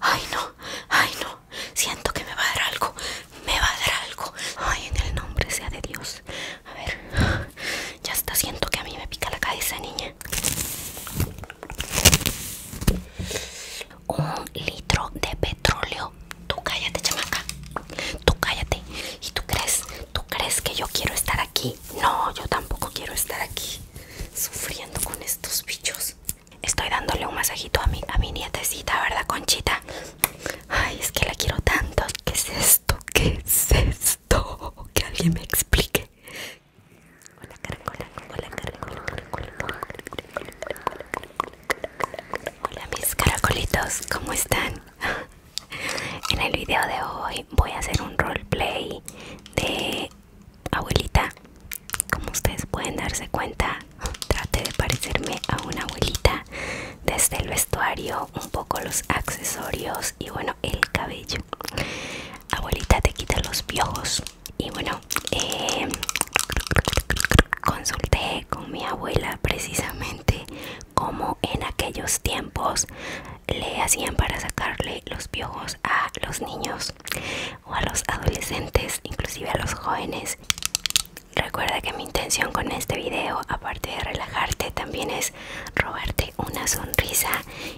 Ay no, ay no, siento que me va a dar algo, me va a dar algo. Ay, en el nombre sea de Dios. A ver, ya está, siento que a mí me pica la cabeza, niña. Un litro de petróleo. Tú cállate, chamaca. Tú cállate. ¿Y tú crees? ¿Tú crees que yo quiero estar aquí? No, yo tampoco quiero estar aquí sufriendo con estos bichos. Estoy dándole un masajito a mi, a mi nietecita, ¿verdad, Conchita? Ay, es que la quiero tanto. ¿Qué es esto? ¿Qué es esto? Que alguien me explique. Hola, caracola, hola, Hola, mis caracolitos, ¿cómo están? En el video de hoy voy a hacer un roleplay de abuelita. Como ustedes pueden darse cuenta, traté de parecerme a una abuelita desde el vestuario, un poco los accesorios y bueno, el cabello. Abuelita te quita los piojos. Y bueno, eh, consulté con mi abuela precisamente cómo en aquellos tiempos le hacían para sacarle los piojos a los niños o a los adolescentes, inclusive a los jóvenes. Recuerda que mi intención con este video, aparte de relajarte, también es robarte una sonrisa.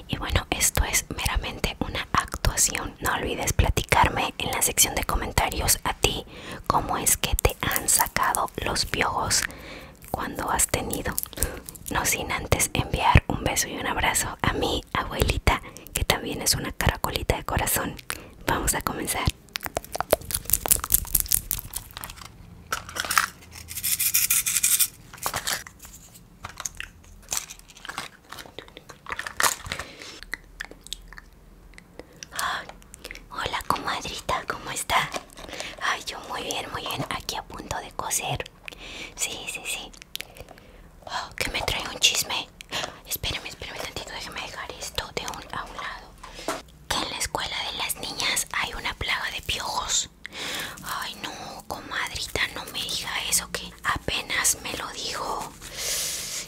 Y bueno, esto es meramente una actuación. No olvides platicarme en la sección de comentarios a ti cómo es que te han sacado los piojos cuando has tenido. No sin antes enviar un beso y un abrazo a mí abuelita, que también es una caracolita de corazón. Vamos a comenzar. hola comadrita, ¿cómo está? Ay, yo muy bien, muy bien, aquí a punto de coser. Sí, sí, sí. Oh, que me trae un chisme espero espérame, espérame tantito, déjame dejar esto de un, a lado. Que en la escuela de las niñas hay una plaga de piojos. Ay, no, comadrita, no me diga eso que apenas me lo dijo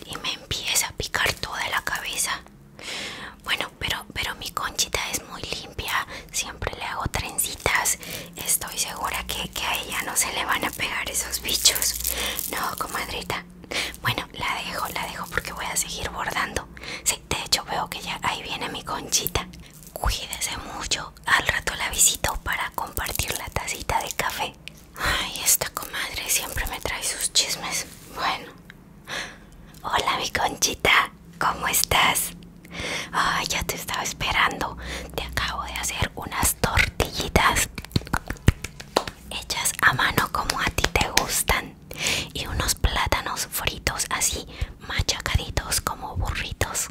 y me empieza a picar toda la cabeza. Bueno, pero, pero mi conchita es muy limpia, siempre le hago trencitas. Estoy segura que a ella no se le van a pegar esos bichos. No, comadrita. Bueno, la dejo, la dejo porque voy a seguir bordando. si de hecho veo que ya ahí viene mi conchita. Cuídese mucho. Al rato la visito para compartir la tacita de café. Ay, esta comadre siempre me trae sus chismes. Bueno. Hola, mi conchita. ¿Cómo estás? Ay, ya te estaba esperando. Te acabo de hacer unas tortillitas hechas a mano como a ti te gustan y unos plátanos fritos así machacaditos como burritos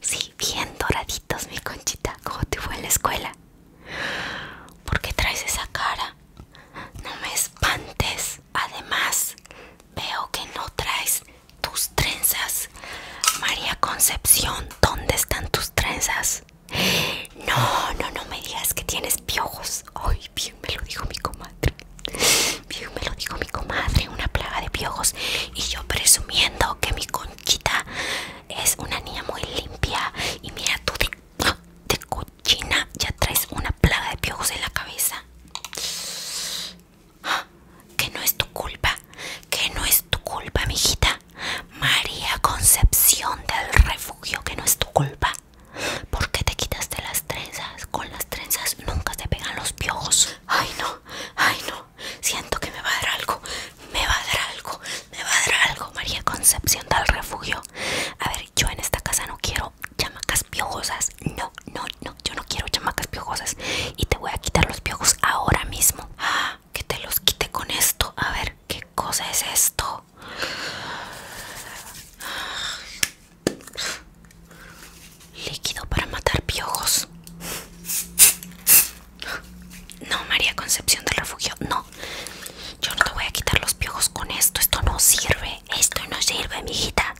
sí bien doraditos mi conchita como te fue en la escuela ¿por qué traes esa cara? no me espantes además veo que no traes tus trenzas María Concepción ¿dónde están tus trenzas? No, no, no me digas que tienes piojos. Ay, bien me lo dijo mi comadre. Bien me lo dijo mi comadre, una plaga de piojos. Y yo presumiendo que mi conchita es una niña muy limpia. Y mira tú de, cochina ya traes una plaga de piojos en la cabeza. Ah, que no es tu culpa, que no es tu culpa, mijita. María Concepción del Refugio, que no es tu culpa. ¿Por qué te quitaste las trenzas? Con las trenzas nunca se pegan los piojos. Ay no, ay no. Siento que me va a dar algo. Me va a dar algo. Me va a dar algo. María Concepción del Refugio. A ver, yo en esta casa no quiero chamacas piojosas. No, no, no. Yo no quiero chamacas piojosas. Y te voy a quitar los piojos ahora mismo. Ah, que te los quite con esto. A ver, ¿Qué cosa es esto? Líquido para matar piojos. No, María Concepción del Refugio, no. Yo no te voy a quitar los piojos con esto. Esto no sirve. Esto no sirve, mijita.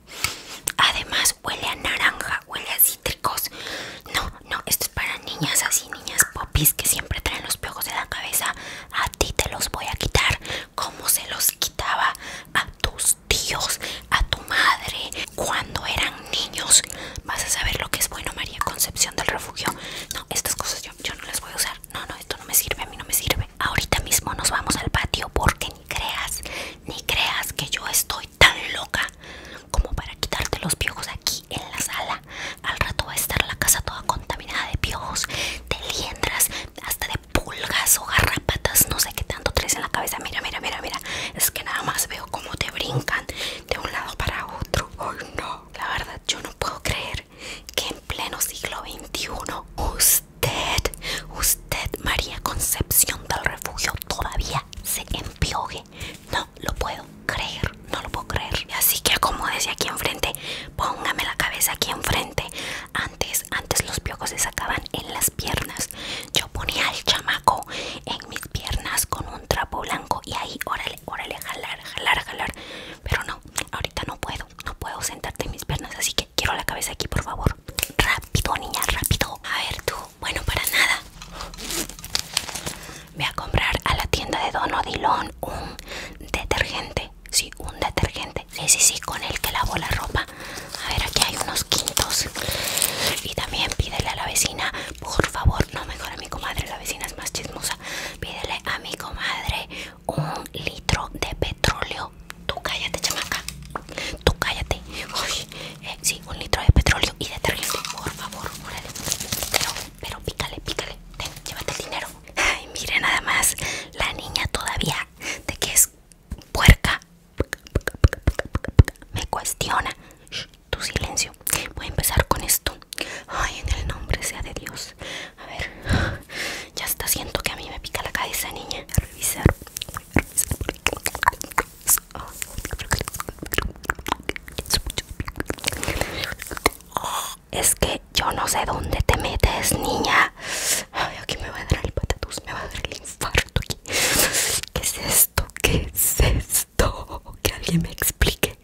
Además, huele a naranja, huele a cítricos. No, no, esto este, para niñas así, niñas popis que siempre traen los piojos de la cabeza. A ti te los voy a quitar como se los quitaba a tus tíos, a tu madre, cuando eran niños. Vas a saber lo que es bueno, María Concepción del Refugio. No, estas cosas yo, yo no las voy a usar. No, no, esto no me sirve, a mí no me sirve. Ahorita mismo nos vamos al patio porque ni creas, ni creas que yo estoy tan loca como para quitarte los piojos aquí en la sala. Al rato va a estar la casa toda contaminada de piojos, de liendras, hasta de pulgas o garrapatas, no sé qué tanto tres en la cabeza. Mira, mira, mira, mira. Es que nada más veo cómo te brincan de un lado para otro. Ay no, la verdad yo no puedo creer que en pleno siglo XXI usted, usted María Concepción del Refugio todavía se empioje. No, lo puedo creer, no lo puedo creer. Así que como decía aquí enfrente, póngame la cabeza aquí enfrente. Antes, antes los piojos se sacaban en las piernas. Yo ponía al chamaco en mis piernas con un trapo blanco y ahí, órale, órale, jalar, jalar, jalar. Pero no, ahorita no puedo, no puedo sentarte en mis piernas, así que quiero la cabeza aquí, por favor. Rápido, niña, rápido. A ver tú, bueno, para nada voy a comprar a la tienda de Don Odilon un detergente. Sí, un detergente. Sí, sí, sí, con el que lavo la ropa. A ver, aquí hay unos quintos. Y también pídele a la vecina, por favor, no mejor a mi comadre, la vecina es más chismosa. Pídele a mi comadre un litro de petróleo. Tú cállate, chamaca. Tú cállate. Eh, sí, un litro de petróleo y detergente, por favor, órale. Pero, pero pícale, pícale. llévate el dinero. Ay, miren nada más la niña todavía de que es puerca. Me cuestiona. tu silencio. Voy a empezar con esto. Ay, en el nombre sea de Dios. A ver. Ya está, siento que a mí me pica la cabeza, niña. A revisar es que yo no sé dónde te metes, niña. Ay, aquí me va a dar el patatús, me va a dar el infarto. Aquí. ¿Qué es esto? ¿Qué es esto? Que alguien me explique.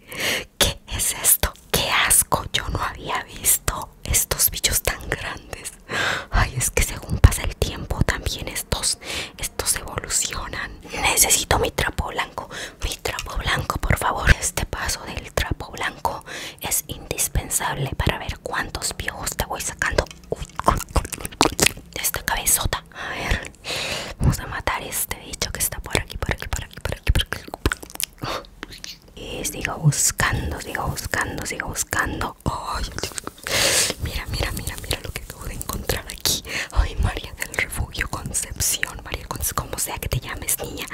¿Qué es esto? ¡Qué asco! Yo no había visto estos bichos tan grandes. Ay, es que según pasa el tiempo, también estos, estos evolucionan. Necesito mi trapo blanco, trapo blanco por favor este paso del trapo blanco es indispensable para ver cuántos viejos te voy sacando de esta cabezota a ver vamos a matar este bicho que está por aquí por aquí por aquí por aquí, y sigo buscando sigo buscando sigo buscando ay mira mira mira mira lo que acabo de encontrar aquí ay María del Refugio Concepción María Concepción como sea que te llames, niña.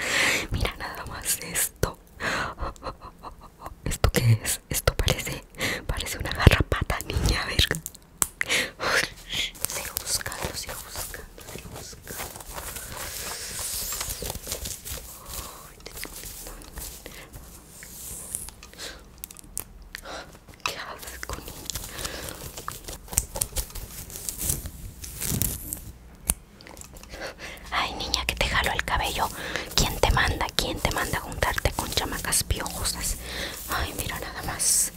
Mira nada más esto. ¿Esto qué es? Esto parece, parece una garrapata, niña. A ver. Sigo buscando, sigo buscando, sigo buscando. ¿Qué haces con ella Ay niña que te jalo el cabello ¿Quién te manda? ¿Quién te manda a juntarte con chamacas piojosas? Ay mira nada más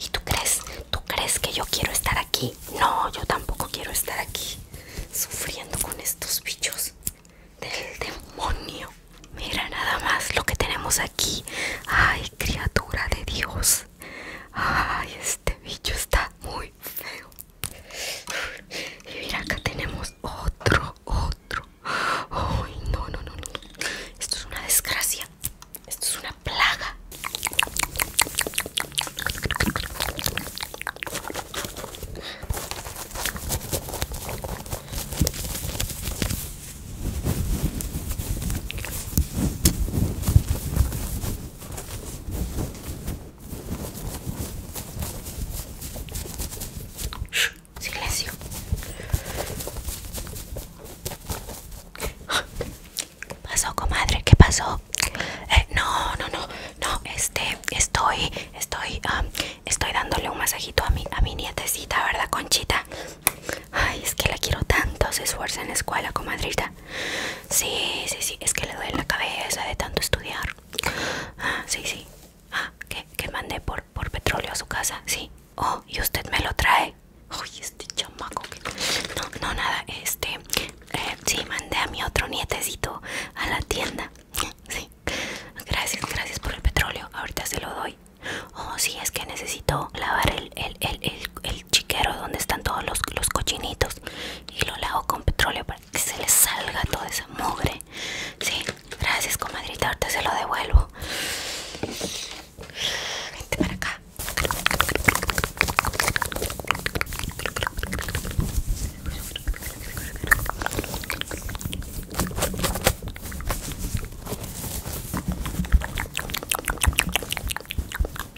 ¿Y tú crees? ¿Tú crees que yo quiero estar aquí? No, yo tampoco quiero estar aquí Sufriendo con estos bichos Del demonio Mira nada más lo que tenemos aquí Ay criatura de Dios Ay, este bicho está muy feo. Y mira, acá tenemos otro, otro. Ay, no, no, no, no. Esto es una desgracia. Esto es una plaga. Silencio. ¿Qué pasó, comadre? ¿Qué pasó? Eh, no, no, no, no. Este, estoy, estoy, estoy dándole un masajito a mi, a mi nietecita, ¿verdad, Conchita? Ay, es que la quiero tanto. Se esfuerza en la escuela, comadrita. Sí, sí, sí, es que le duele la cabeza de tanto estudiar. Ah, sí, sí. Ah, que, que mandé por, por petróleo a su casa, sí. Oh, y usted me lo trae. Uy, este chamaco No, no, nada, este... Eh, sí, mandé a mi otro nietecito a la tienda. Sí. Gracias, gracias por el petróleo. Ahorita se lo doy. Oh, sí, es que necesito lavar el, el, el, el chiquero donde están todos los, los cochinitos y lo lavo con petróleo para que se le salga toda esa mugre. Sí, gracias comadrita, ahorita se lo devuelvo. Vente para acá.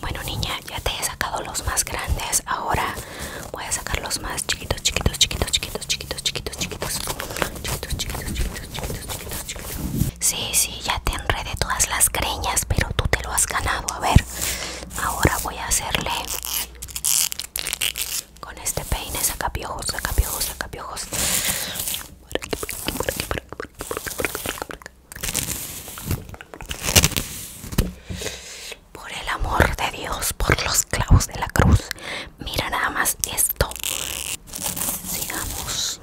Bueno niña, ya te he sacado los más grandes. Ahora voy a sacar los más chiquitos, chiquitos, chiquitos, chiquitos, chiquitos, chiquitos, chiquitos, chiquitos, chiquitos, chiquitos, chiquitos, Sí, sí, ya te enredé todas las greñas, pero tú te lo has ganado. A ver, ahora voy a hacerle con este peine saca piojos, saca Por aquí, por aquí, por aquí, por el amor de Dios, por los clavos de la cruz. Mira nada más esto. Sigamos.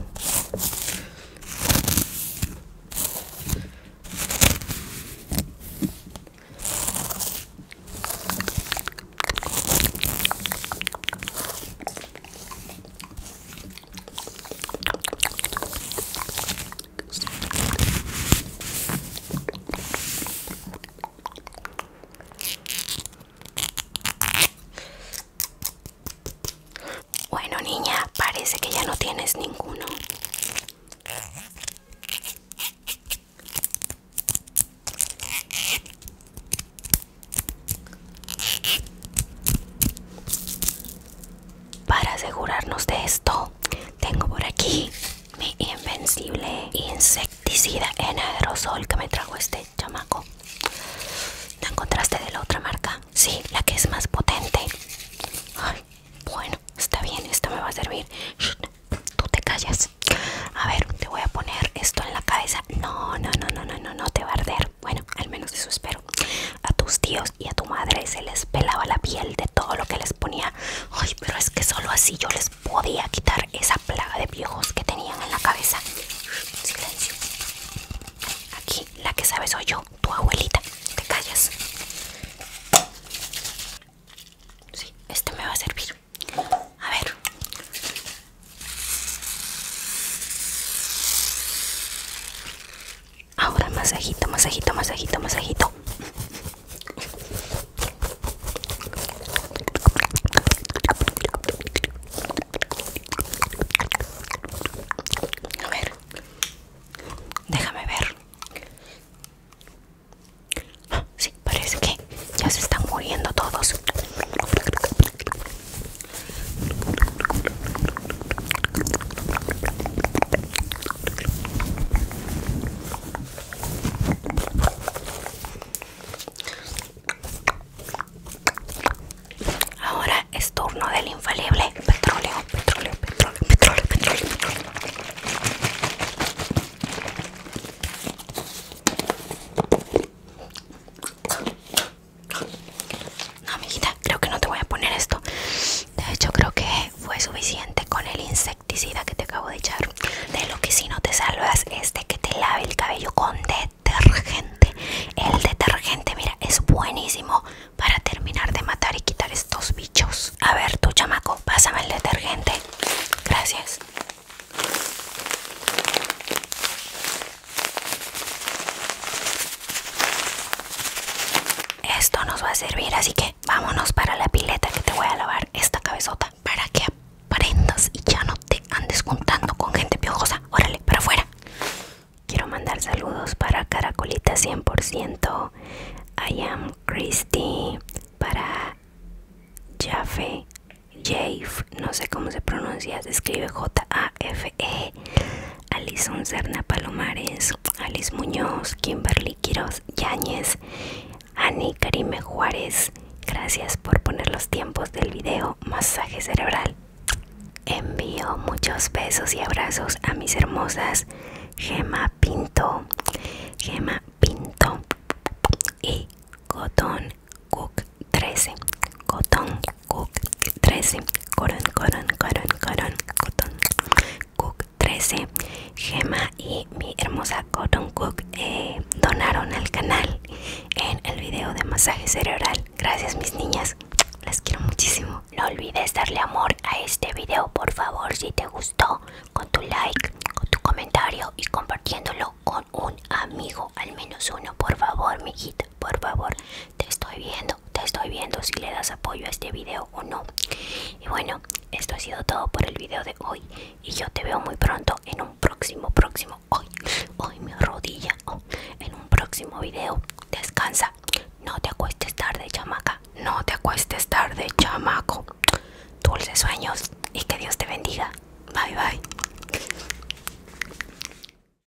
Bueno, niña, parece que ya no tienes ninguno. Para asegurarnos de esto, tengo por aquí mi invencible insecticida en aerosol que me trajo este chamaco. ¿La encontraste de la otra marca? Sí, la que es más potente. bueno, está bien, esto me va a servir. tú te callas. A ver, te voy a poner esto en la cabeza. No, no, no, no, no, no, no te va a arder bueno, al menos eso espero. A tus tíos y a tu madre se les pelaba la piel de todo lo que les ponía. Ay, pero es que solo así yo les podía quitar esa plaga de viejos que tenían en la cabeza. Silencio. Aquí la que sabe soy yo, tu abuelita. Te callas. Sí, este me va a servir. A ver, Ahora masajito, masajito, masajito, masajito. A ver, déjame ver. Ah, sí, parece que ya se están muriendo todos. Ahora es turno del infalible petróleo, petróleo, petróleo, petróleo, petróleo, no, amiguita, creo que no te voy a poner esto. De hecho, creo que fue suficiente con el insecticida que te acabo de echar. De lo que si no te salvas es de que te lave el cabello con detergente. El detergente, mira, es buenísimo para terminar de matar y quitar estos bichos. A ver, tu chamaco, pásame el detergente. Gracias. Esto nos va a servir, así que vámonos para la pileta que te voy a lavar esta cabezota para que aprendas y ya no te andes Contando con gente piojosa. Órale, para afuera. Quiero mandar saludos para Caracolita 100%, I am Christy, para Jaffe, Jave, no sé cómo se pronuncia, se escribe J-A-F-E, Alison Serna Palomares, Alice Muñoz, Kimberly Quiroz Yáñez, Ani Karime Juárez. Gracias por poner los tiempos del video Masaje Cerebral. Envío muchos besos y abrazos a mis hermosas Gema Pinto, Gema Pinto y Cotton Cook 13. Cotton Cook 13 Gemma Cook 13 Gema y mi hermosa Cotton Cook eh, donaron al canal en el video de masaje cerebral Gracias mis niñas, las quiero muchísimo No olvides darle amor a este video por favor si te gustó Con tu like, con tu comentario y compartiéndolo con un amigo Al menos uno por favor Mi hijito por favor. Te estoy viendo, te estoy viendo si le das apoyo a este video o no. Y bueno, esto ha sido todo por el video de hoy. Y yo te veo muy pronto en un próximo, próximo, hoy, hoy mi rodilla, oh, en un próximo video. Descansa, no te acuestes tarde, chamaca. No te acuestes tarde, chamaco. Dulces sueños y que Dios te bendiga. Bye, bye.